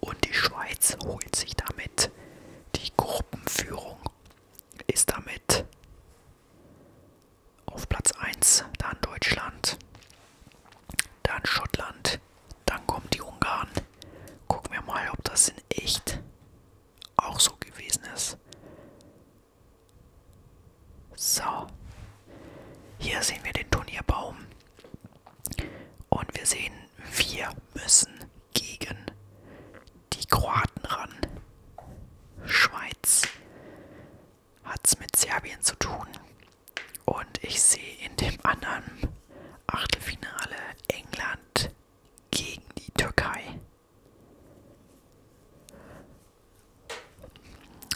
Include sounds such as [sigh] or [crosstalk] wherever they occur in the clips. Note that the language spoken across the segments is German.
Und die Schweiz holt sich damit die Gruppenführung, ist damit auf Platz 1, dann Deutschland, dann Schottland, dann kommen die Ungarn. Gucken wir mal, ob das in echt auch so gewesen ist. So, hier sehen wir den Turnierbaum. Und wir sehen, wir müssen gegen die Kroaten ran. Schweiz hat es mit Serbien zu tun. Und ich sehe in dem anderen Achtelfinale England gegen die Türkei.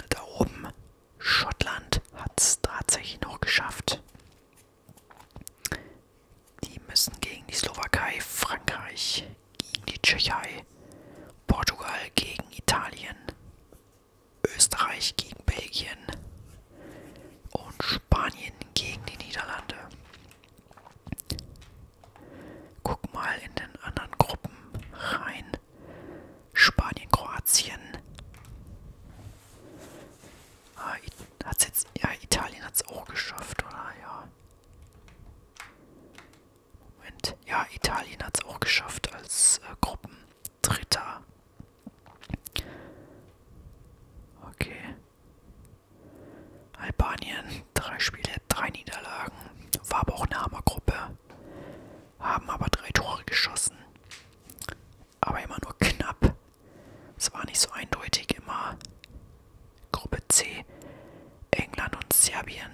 Da oben Schottland hat es tatsächlich noch geschafft. Die müssen gegen die Slowakei, Frankreich, gegen die Tschechei, Portugal gegen Italien, Österreich gegen Belgien und Spanien gegen die Niederlande. Guck mal in den anderen Gruppen rein. Spanien, Kroatien, Ah, hat's jetzt, ja, Italien hat es auch geschafft, oder? Ja. Moment. Ja, Italien hat es auch geschafft als äh, Gruppendritter. Okay. Albanien, drei Spiele, drei Niederlagen. War aber auch eine Hammergruppe. Haben aber drei Tore geschossen aber immer nur knapp. Es war nicht so eindeutig immer. Gruppe C, England und Serbien.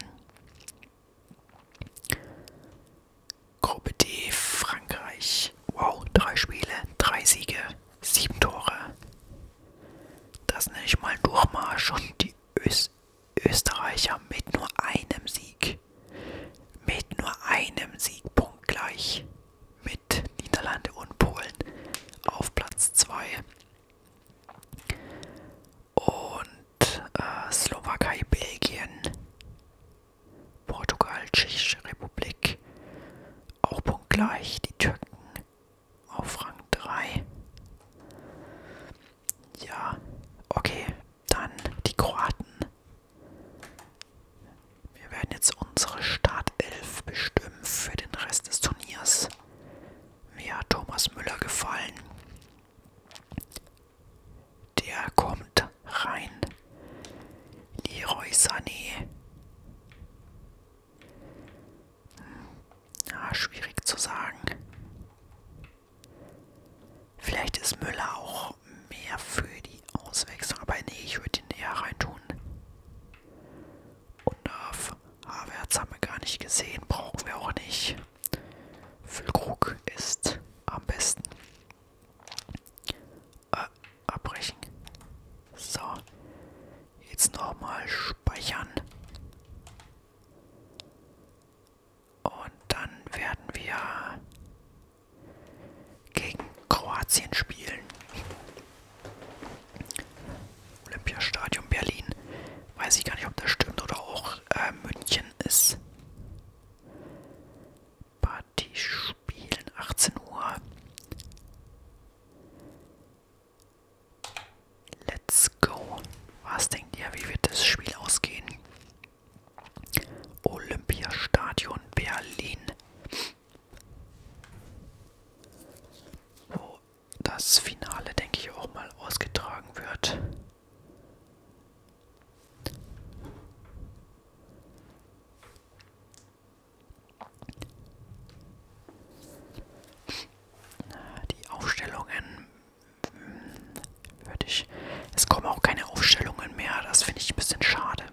Gruppe D, Frankreich. Wow, drei Spiele, drei Siege, sieben Tore. Das nenne ich mal Durchmarsch und die Ös Österreicher mit nur einem Sieg. Mit nur einem Sieg punktgleich mit mit Niederlande und Polen auf Platz 2. Und äh, Slowakei, Belgien, Portugal, Tschechische Republik auch punktgleich. Die Türken auf Rang 3. Ja, okay, dann die Kroaten wir werden jetzt unsere Startelf bestimmen für den Rest des Turniers. Mir hat Thomas Müller gefallen. Der kommt rein. Leroy Sané. Ja, hm, ah, schwierig zu sagen. Vielleicht ist Müller auch noch mehr für die Auswechslung, aber nee, ich würde ihn näher reintun. Und auf Havertz haben wir gar nicht gesehen, brauchen wir auch nicht. Füllkrug ist am besten. Äh, abbrechen. So. Jetzt nochmal speichern. Und dann werden wir gegen Kroatien spielen. Olympiastadion Berlin. Weiß ich gar nicht, ob das stimmt oder auch äh, München ist. Party spielen 18 Uhr. Let's go. Was denkt ihr, wie wird das Spiel ausgehen? Olympiastadion Berlin. Wo das Finale, denke ich, auch mal ausgetragen wird. Die Aufstellungen hm, würde ich. Es kommen auch keine Aufstellungen mehr. Das finde ich ein bisschen schade.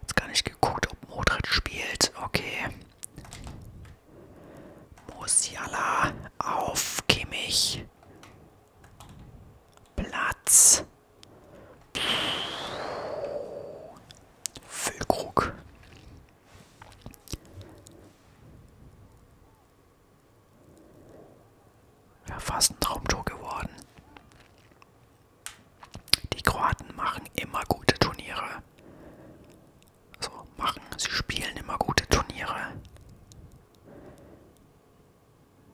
Jetzt gar nicht geguckt, ob Modric spielt. Okay. Musiala auf Kimmich. Platz. Füllkrug. Ja, fast ein Traumtor geworden. Die Kroaten machen immer gute Turniere. So, machen. Sie spielen immer gute Turniere.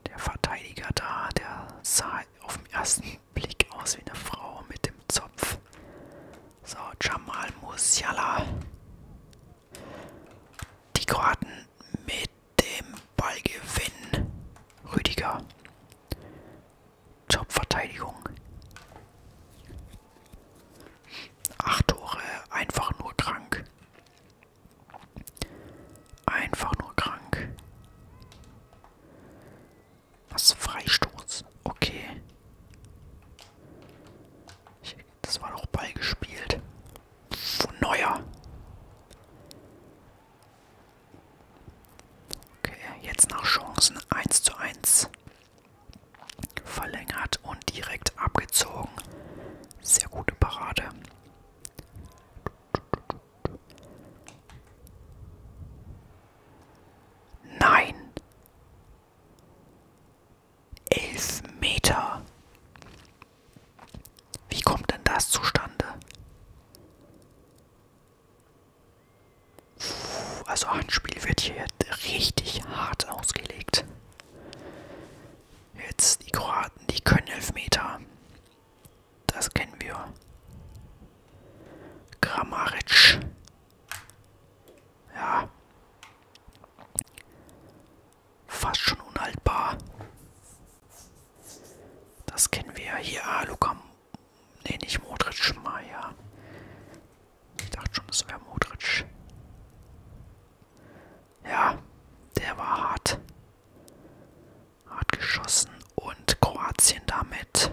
Der Verteidiger da, der sah auf den ersten Blick aus wie eine Frau mit dem Zopf. So, Jamal Musiala. Die Kroaten mit dem Ballgewinn. Rüdiger. Top-Verteidigung. Acht Tore, einfach nur krank. Einfach nur krank. Was Freistoß? Okay. Ich das war doch Ball gespielt. Von Neuer. Okay, jetzt nach Chancen 1 zu 1. Verlängert und direkt abgezogen. Sehr gute Parade. Nein. Elf Meter. Wie kommt denn das zustande? Puh, also Handspiel wird hier richtig hart ausgelegt. Jetzt die Kroaten, die können Elfmeter. Das kennen wir. Kramaric. Ja fast schon unhaltbar. Das kennen wir ja hier. Ah, Luca. Nee, nicht Modric, Maya. Ich dachte schon, es wäre Modric. Ja, der war hart. Hart geschossen und Kroatien damit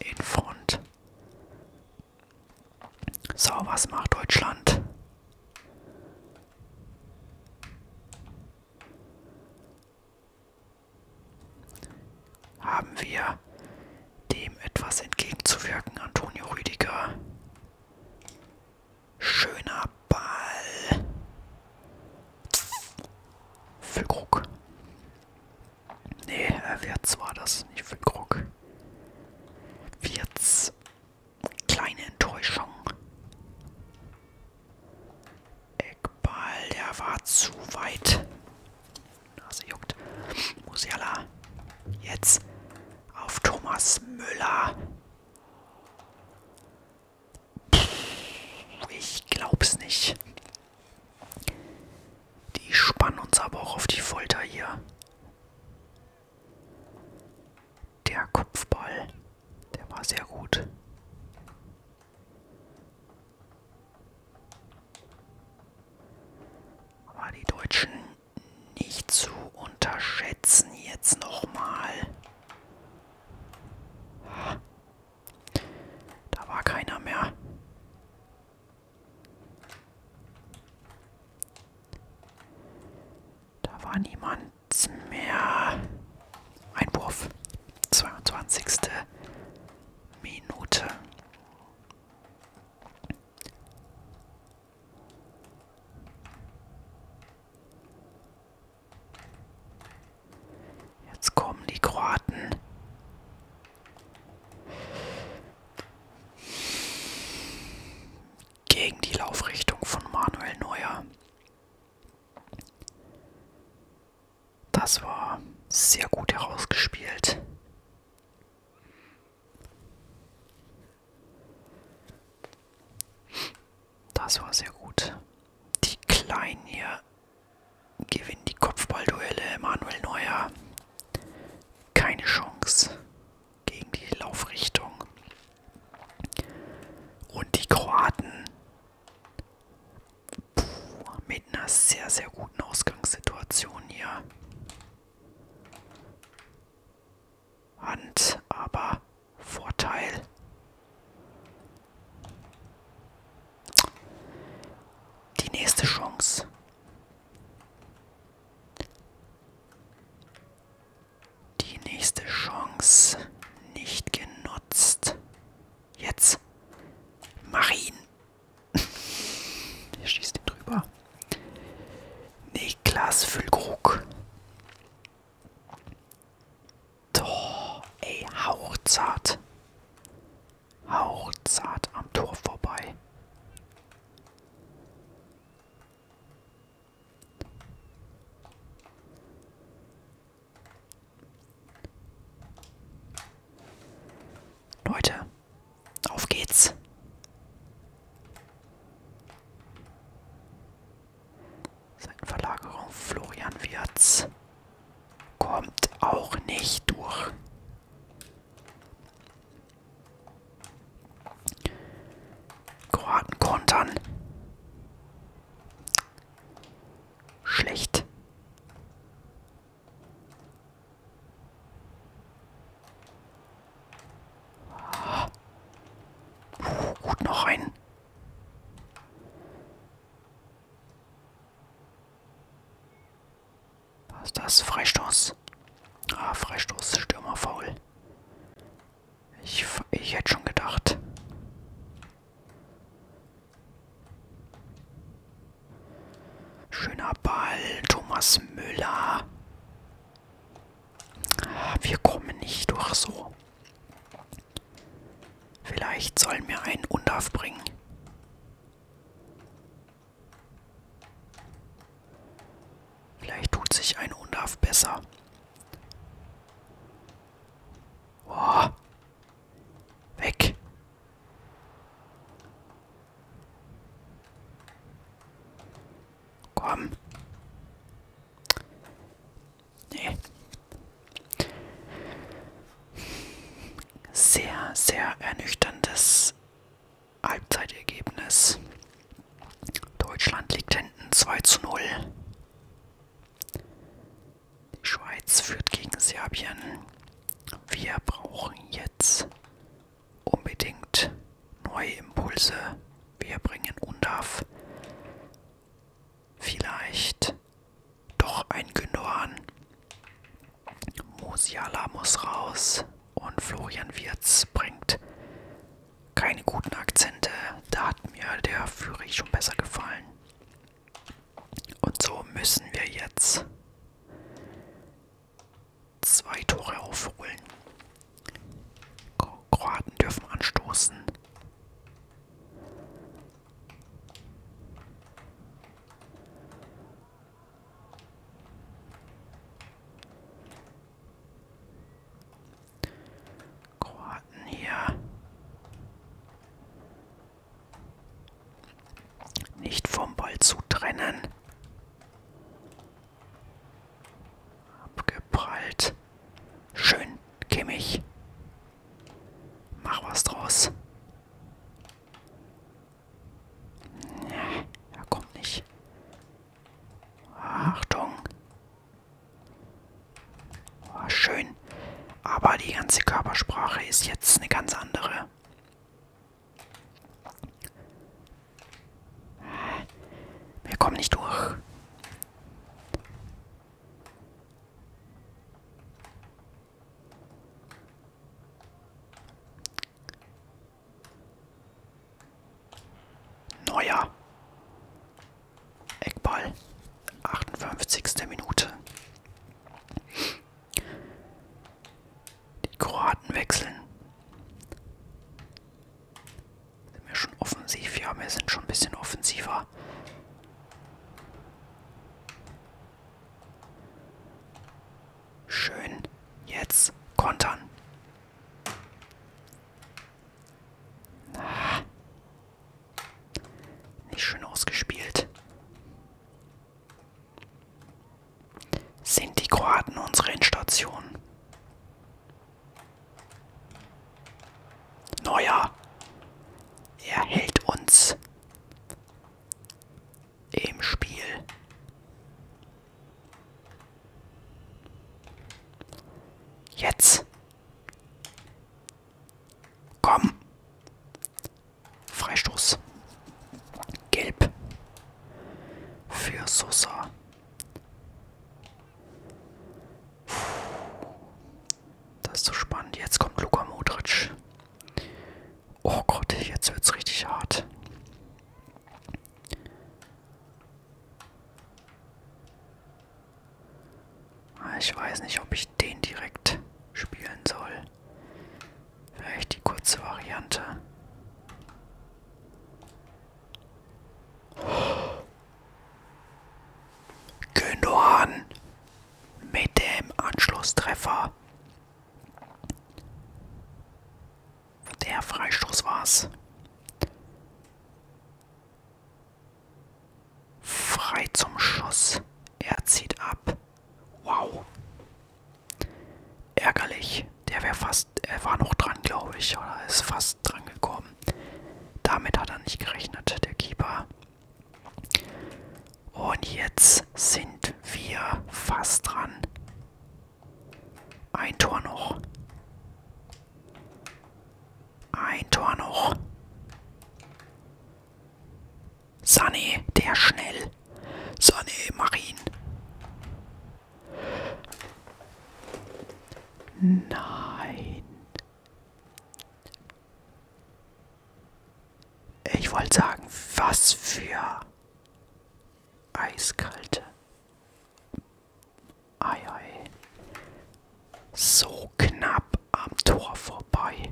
in Front. So, was macht Deutschland? Haben wir dem etwas entgegenzuwirken, Antonio Rüdiger? Schöner Ball. Füllkrug. Nee, er äh, wird zwar das, nicht Füllkrug. Wird's kleine Enttäuschung. Eckball, der war zu weit. Nase juckt. Musiala. Jetzt auf Thomas Müller. Ich glaub's nicht. Die spannen uns aber auch auf die Folter hier. Der Kopfball, der war sehr gut. Aber die Deutschen nicht zu unterschätzen jetzt nochmal. Da war keiner mehr. Da war niemand mehr. Einwurf. 22. Minute. Jetzt kommen die Kroaten gegen die Laufrichtung von Manuel Neuer. Das war sehr gut herausgespielt. Das war sehr gut. Die Kleinen hier gewinnen die Kopfballduelle. Manuel Neuer. Keine Chance gegen die Laufrichtung. Und die Kroaten puh, mit einer sehr, sehr guten Ausgangssituation hier. Hand, aber Vorteil. Die nächste Chance. Die nächste Chance nicht genutzt. Jetzt. Mach ihn. [laughs] er schießt ihn drüber. Niklas Füllkrug. Tor, ey, hauchzart. Hauchzart am Tor vorbei. Leute, auf geht's. Seitenverlagerung Florian Wirz kommt auch nicht durch. Kroaten kontern. Schlecht. Puh, gut noch rein. Was ist das? Freistoß. Ah, Freistoß, Stürmer faul. Ich, ich hätte schon gedacht. Schöner Ball, Thomas Müller. Wir kommen nicht durch so. Vielleicht sollen wir einen Undaf bringen. Vielleicht tut sich ein Unaf besser. Boah. Weg. Komm. Nee. Sehr, sehr ernüchterndes Halbzeitergebnis. Deutschland liegt hinten 2 zu 0. Die Schweiz führt gegen Serbien. Wir brauchen jetzt unbedingt neue Impulse. Wir bringen UNDAF vielleicht doch ein Gündogan. Musiala muss raus und Florian Wirz bringt keine guten Akzente. Da hat mir der Führig schon besser gefallen. Und so müssen wir jetzt zwei Tore aufholen. Kroaten dürfen anstoßen. Kroaten hier. Nicht vom Ball zu trennen. Abgeprallt. Schön, Kimmich. Mach was draus. Nee, er kommt nicht. Achtung. Oh, schön. Aber die ganze Körpersprache ist jetzt eine ganz andere. Wir kommen nicht durch. Neuer. Eckball. 58. Minute. Die Kroaten wechseln. Sind wir schon offensiv? Ja, wir sind schon ein bisschen offensiver. Schön. Jetzt kontern. Ah. Nicht schön ausgespielt. Sind die Kroaten unsere Endstation? Neuer. Er hält uns im Spiel. Jetzt. Komm. Freistoß. Gelb. Für Sosa. Puh. Das ist so spannend. Jetzt kommt Luka Modric. Oh Gott, jetzt wird's richtig hart. Ah, ich weiß nicht, ob ich den direkt spielen soll. Vielleicht die kurze Variante. Gündogan mit dem Anschlusstreffer. Der Freistoß war's. Frei zum Schuss. Er zieht ab. Wow. Ärgerlich. Der wäre fast. Er war noch dran, glaube ich. Oder ist fast dran gekommen. Damit hat er nicht gerechnet, der Keeper. Und jetzt sind wir fast dran. Ein Tor noch. Ein Tor noch. Sunny, der schnell. Sunny, mach ihn. Nein. Ich wollte sagen, was für eiskalte Ei, ei. So knapp am Tor vorbei.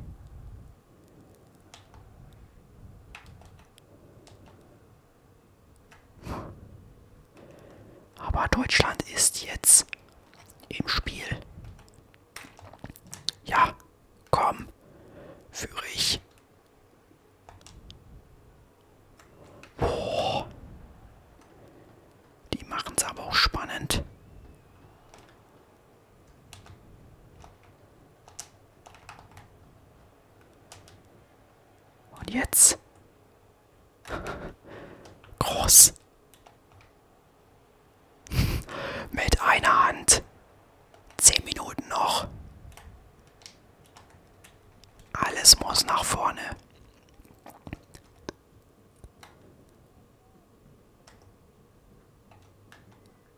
Aber Deutschland ist jetzt im Spiel. Ja, komm, führe ich. Boah. Die machen es aber auch spannend. Und jetzt? [laughs] Groß. [laughs] Mit einer Hand. Zehn Minuten noch. Alles muss nach vorne.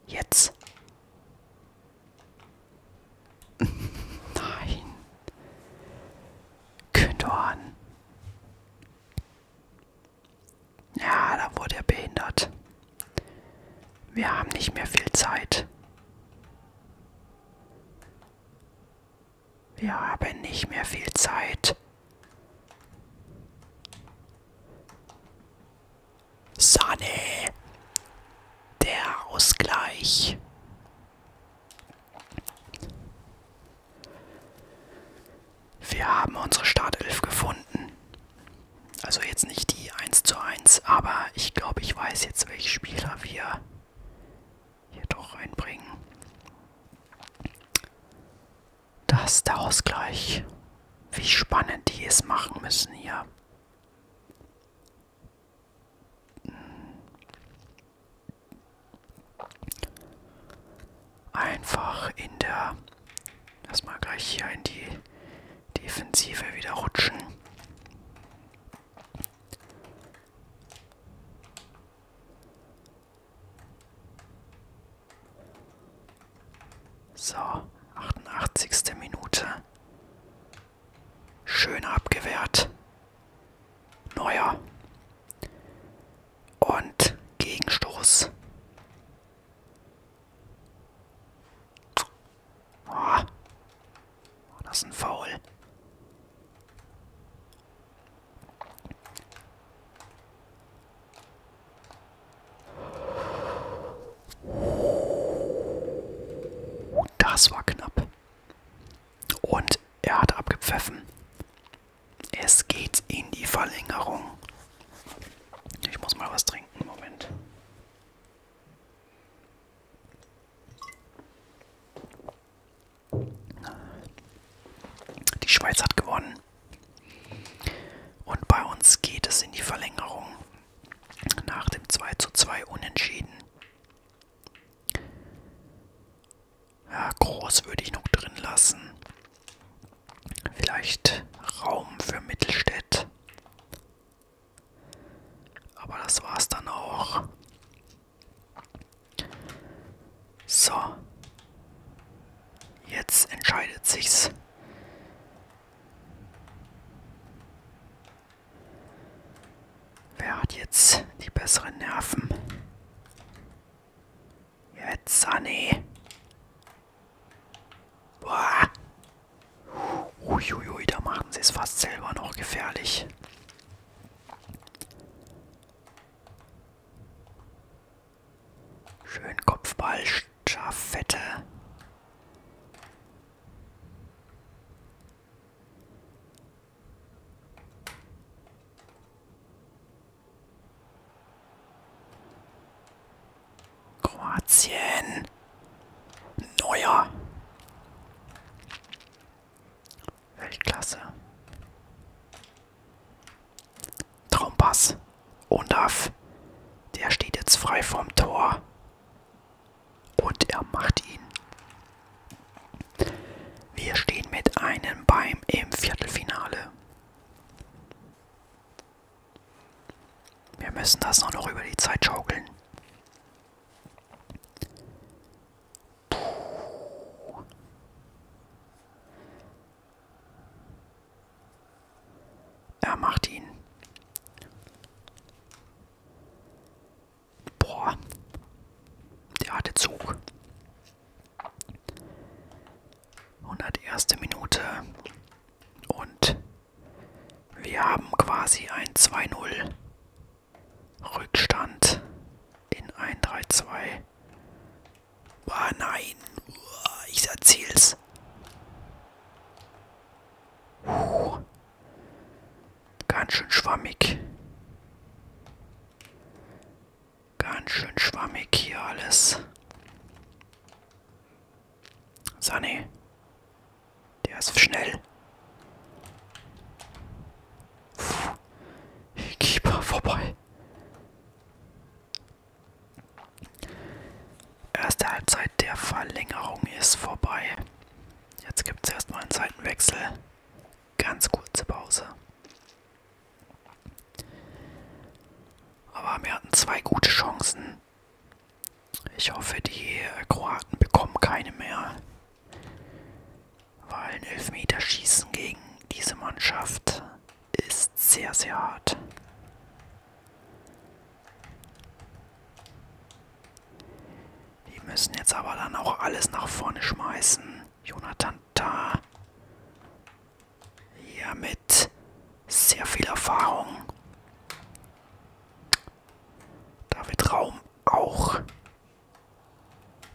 Jetzt. Nein. Kündorn. Ja, da wurde er behindert. Wir haben nicht mehr viel Zeit. Wir haben nicht mehr viel Zeit. Sane. Der Ausgleich. Wir haben unsere Startelf gefunden. Also jetzt nicht die 1 zu 1, aber ich glaube, ich weiß jetzt, welche Spieler wir hier doch reinbringen. Das ist der Ausgleich. Wie spannend die es machen müssen hier. Hm. Einfach in der... Lass mal gleich hier in die Defensive wieder rutschen. So, 88. Minute. Schön abgewehrt. Neuer. Und Gegenstoß. Oh, Oh, das ist ein Foul. Das war knapp. Und er hat abgepfiffen. Es geht in die Verlängerung. Ich muss mal was trinken. Moment. Die Schweiz hat gewonnen. Und bei uns geht es in die Verlängerung nach dem 2 zu 2 unentschieden. Ja, groß würde ich noch drin lassen. Vielleicht Raum für Mittelstädt. Aber das war's dann auch. So. Jetzt entscheidet sich's. Wer hat jetzt die besseren Nerven? Jetzt, Sunny. Boah. Uiuiui, da machen sie es fast selber noch gefährlich. Schön Kopfball, Schaffette. Kroatien. Neuer. Weltklasse. Traumpass. Onaf. Der steht jetzt frei vom Tor. Und er macht ihn. Wir stehen mit einem Bein im Viertelfinale. Wir müssen das nur noch über die Zeit schaukeln. Er macht ihn. Boah. Der hatte Zug. 101. Minute. Und wir haben quasi ein 2-0. Rückstand in 1-3-2. Ah, nein. Ich erziel's. Puh. Ganz schön schwammig. Ganz schön schwammig hier alles. Sunny. Der ist schnell. Puh. Keeper vorbei. Erste Halbzeit der Verlängerung ist vorbei. Jetzt gibt es erstmal einen Seitenwechsel. Ganz kurze Pause. Aber wir hatten zwei gute Chancen. Ich hoffe, die Kroaten bekommen keine mehr. Weil ein Elfmeterschießen gegen diese Mannschaft ist sehr, sehr hart. Die müssen jetzt aber dann auch alles nach vorne schmeißen. Jonathan da. Ja, mit sehr viel Erfahrung. Da wird Raum auch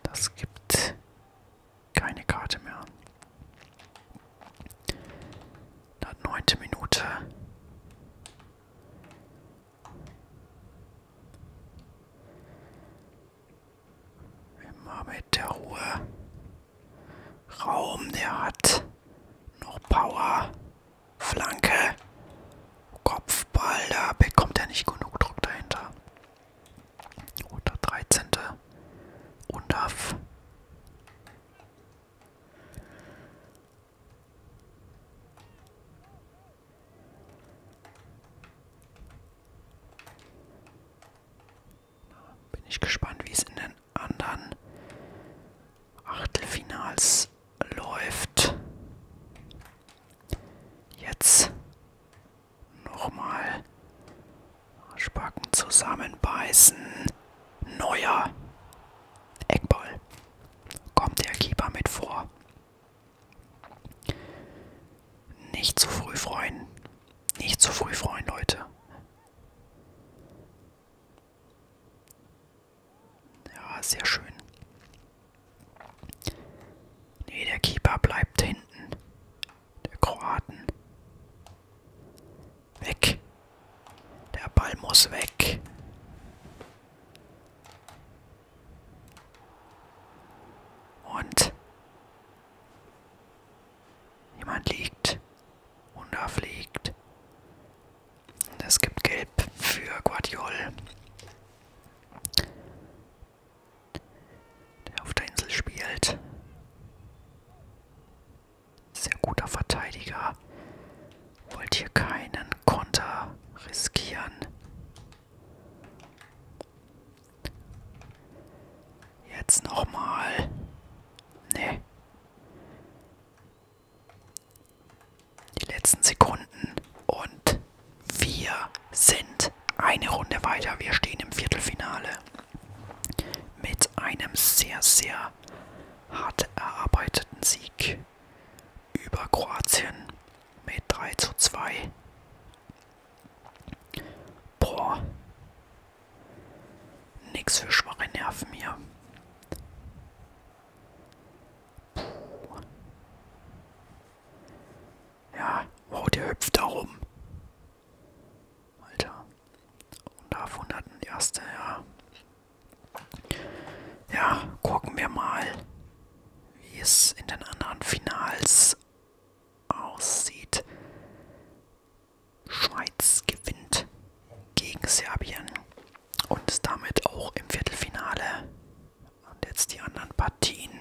das gibt keine Karte mehr. Dann neunte Minute. Immer mit der Ruhe. Raum, der hat noch Power. Flanke. Kopfball, da bekommt er nicht genug Druck dahinter. Oder 13. UNDAF. Bin ich gespannt, wie es in den anderen Achtelfinals läuft. Jetzt Nochmal. Spacken zusammenbeißen. Neuer. Eckball. Kommt der Keeper mit vor. Nicht zu früh freuen. Nicht zu früh freuen, Leute. Ja, sehr schön. Nee, der Keeper bleibt hinten. Der Kroaten. Weg. Der Ball muss weg. Und jemand liegt und da fliegt. Und es gibt Gelb für Guardiol der auf der Insel spielt. Sehr guter Verteidiger. Wollt hier keinen Konter riskieren. Jetzt nochmal. Nee. Die letzten Sekunden und wir sind eine Runde weiter. Wir stehen im Viertelfinale. Mit einem sehr, sehr hart erarbeiteten Sieg über Kroatien mit 3 zu 2. Boah. Nix für schwache Nerven hier. Puh. Ja, wow, der hüpft da rum. Alter. Und da wunderten erste, ja. Ja, gucken wir mal, wie es in den anderen Finals aussieht. Schweiz gewinnt gegen Serbien und ist damit auch im Viertelfinale und jetzt die anderen Partien.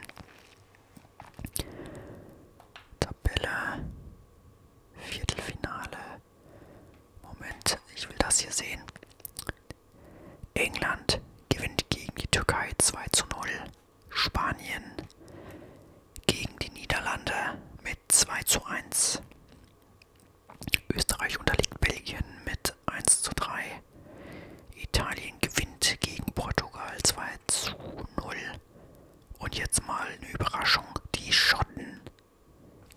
Tabelle. Viertelfinale. Moment, ich will das hier sehen. England gewinnt gegen die Türkei 2 zu 0. Spanien gegen die Niederlande mit 2 zu 1. Österreich unterliegt Belgien mit 1 zu 3. Italien gewinnt gegen Portugal 2 zu 0. Und jetzt mal eine Überraschung. Die Schotten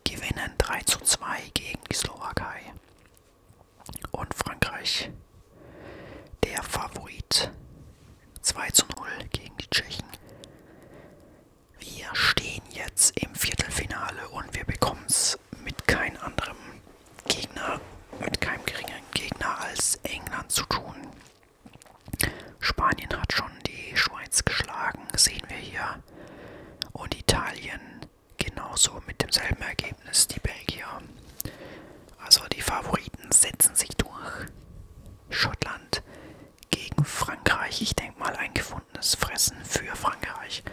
gewinnen 3 zu 2 gegen die Slowakei. Und Frankreich, der Favorit, 2 zu 0 gegen die Tschechen. Wir stehen jetzt im Viertelfinale und wir bekommen es mit kein anderem Gegner mit keinem geringeren Gegner als England zu tun. Spanien hat schon die Schweiz geschlagen, sehen wir hier. Und Italien genauso mit demselben Ergebnis, die Belgier. Also die Favoriten setzen sich durch. Schottland gegen Frankreich. Ich denke mal ein gefundenes Fressen für Frankreich.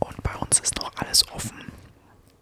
Und bei uns ist noch alles offen.